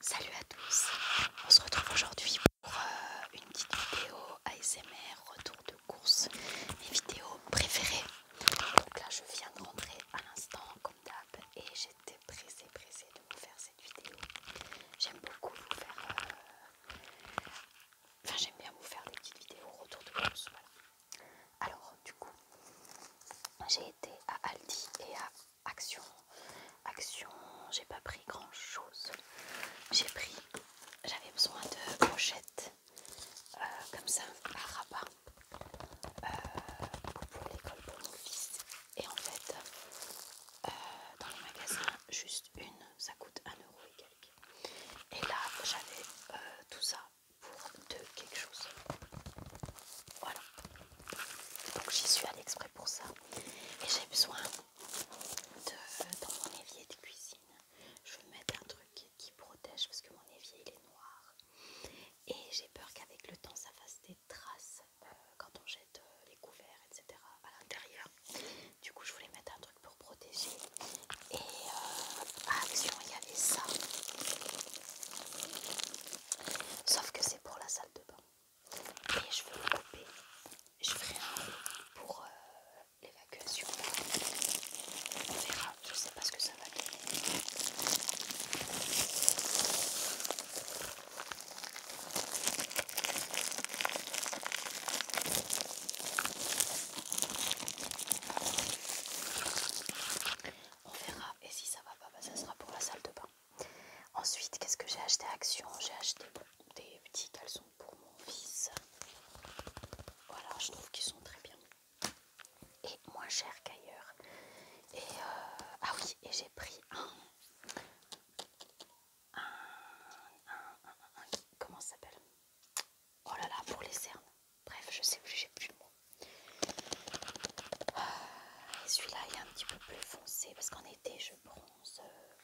Salut à tous, on se retrouve aujourd'hui pour euh, une petite vidéo ASMR retour de course, mes vidéos préférées. Donc là je viens de rentrer à l'instant comme d'hab et j'étais pressée pressée de vous faire cette vidéo. J'aime beaucoup vous faire, euh, enfin j'aime bien vous faire des petites vidéos retour de course. Alors du coup j'ai été à Aldi et à action, action, j'ai pas pris grand chose. J'ai pris, j'avais besoin de brochettes euh, comme ça à rabat euh, pour l'école pour mon fils. Et en fait, euh, dans le magasin, juste une, ça coûte euro et quelques. Et là, j'avais tout ça pour deux quelque chose. Voilà, donc j'y suis allée exprès pour ça. Et j'ai besoin de, dans mon évier de cuisine, je veux mettre un truc qui protège parce que mon évier il est noir. Et j'ai peur qu'avec le temps ça fasse des traces euh, quand on jette euh, les couverts, etc. à l'intérieur. Du coup je voulais mettre un truc pour protéger. Et à euh, Action ah, il y avait ça. Sauf que c'est pour la salle de bain. Et je veux le couper. Je ferai un pour euh, l'évacuation. On verra, je sais pas ce que ça va donner. On verra et si ça va pas, bah, ça sera pour la salle de bain. Ensuite, qu'est-ce que j'ai acheté à Action J'ai acheté des petits caleçons pour mon fils. Voilà, je trouve qu'ils sont très bien. Et moins chers qu'ailleurs. Et ah oui, et j'ai pris un, un, un, un comment ça s'appelle Oh là là, pour les cernes. Bref, je sais plus, j'ai plus le et celui-là il est un petit peu plus foncé parce qu'en été je bronze euh,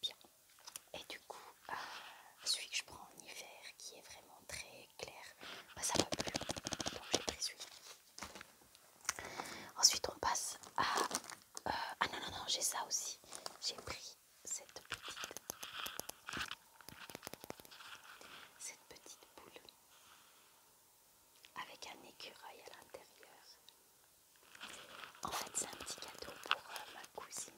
bien. Et du coup, euh, celui que je prends en hiver qui est vraiment très clair, bah, ça va plus Donc j'ai pris celui-là. Ensuite on passe à... Euh, ah non, non, non, j'ai ça aussi. J'ai pris cette petite... Cette petite boule avec un écureuil à l'intérieur. En fait, c'est un petit cadeau pour euh, ma cousine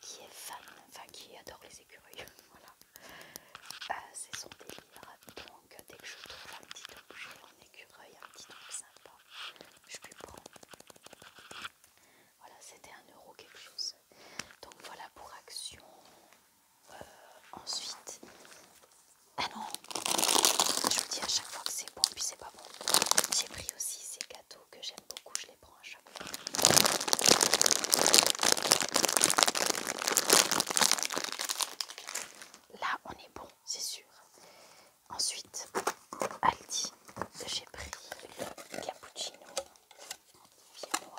qui est fan, enfin qui adore les écureuils. voilà, euh, c'est son délire. Donc, dès que je trouve un petit objet en écureuil, un petit truc sympa, je lui prends. Voilà, c'était un euro quelque chose. Donc voilà pour action. Euh, ensuite, ah non, je vous dis à chaque fois que c'est bon, puis c'est pas bon. J'ai pris aussi ces gâteaux que j'aime beaucoup, je les prends à chaque fois. Là, on est bon, c'est sûr. Ensuite, Aldi, j'ai pris le cappuccino viennois.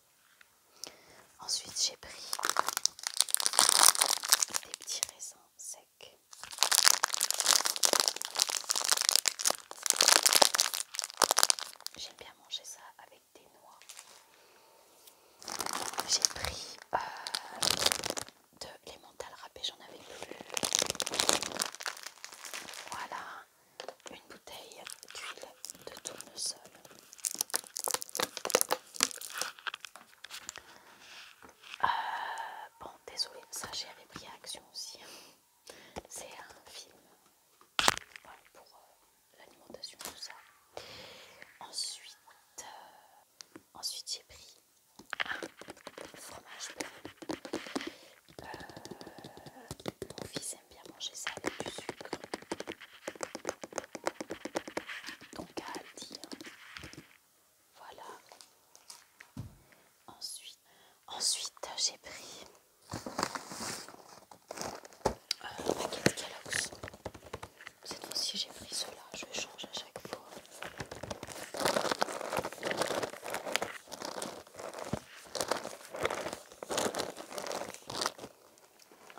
Ensuite, j'ai pris des petits raisins secs. J'aime bien manger ça avec des noix. J'ai pris euh, de l'emmental râpé, j'en avais plus. Voilà, une bouteille d'huile de tournesol. Euh, bon, désolé, ça j'avais pris action aussi. C'est un film pour euh, l'alimentation, tout ça. Ensuite, euh, ensuite j'ai pris un fromage blanc bien manger ça avec du sucre. Donc à dire. Voilà. Ensuite, ensuite j'ai pris le paquet de Kellogg's. Cette fois-ci j'ai pris cela, je change à chaque fois.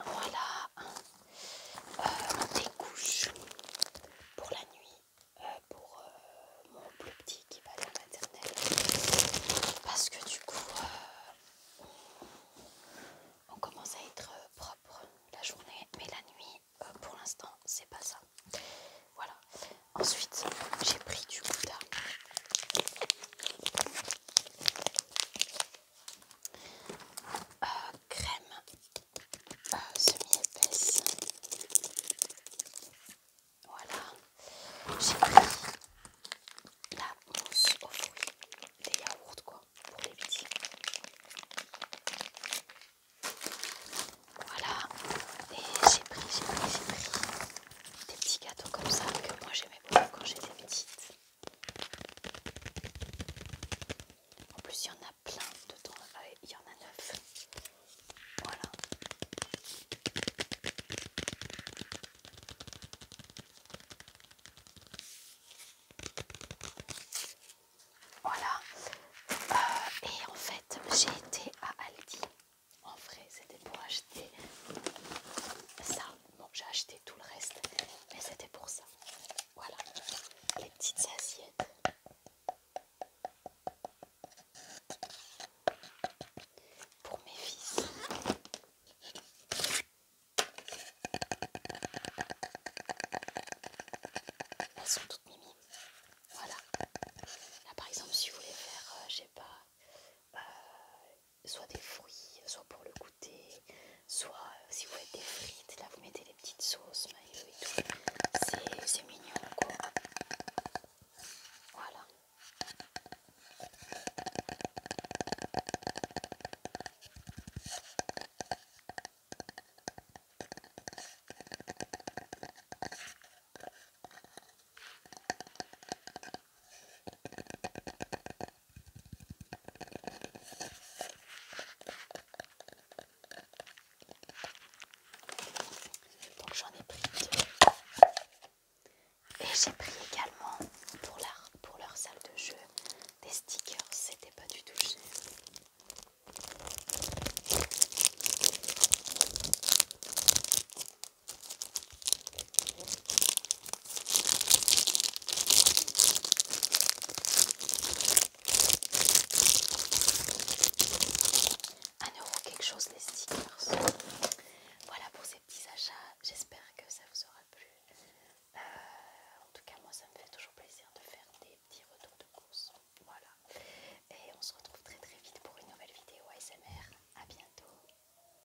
Voilà. des euh, couches pour la nuit, euh, pour euh, mon plus petit qui va aller la maternelle. Parce que du coup, on, commence à être propre la journée, mais la nuit, pour l'instant, c'est pas ça. Voilà. Ensuite, j'ai pris du gouda crème euh, semi-épaisse. Voilà, j'ai pris la mousse aux fruits des yaourts, quoi, pour les petits. Voilà, et j'ai pris, j'ai pris, j'ai pris des petits gâteaux comme ça que moi j'aimais beaucoup quand j'étais petite. En plus, il y en a plein dedans. Ah il y en a neuf. Voilà. Voilà. Euh, et en fait, j'ai été à Aldi. En vrai, c'était pour acheter ça. Bon, ah, j'ai acheté tout le reste, mais c'était pour ça. Voilà, les petites assiettes. Pour mes fils. Elles sont toutes mimi. Voilà. Là par exemple si vous voulez faire, euh, j'ai sais pas, euh, soit des fruits, soit pour le goûter, soit euh, si vous faites des frites, là vous mettez des petites sauces, et tout. C'est mignon quoi. Voilà. Donc j'en ai pris Et j'ai pris également pour leur, pour leur salle de jeu des stickers, c'était pas du tout cher. 1 euro quelque chose les stickers. Voilà pour ces petits achats. J'espère que ça vous aura plu. Euh, en tout cas, moi, ça me fait toujours plaisir de faire des petits retours de course. Voilà. Et on se retrouve très très vite pour une nouvelle vidéo ASMR. à bientôt.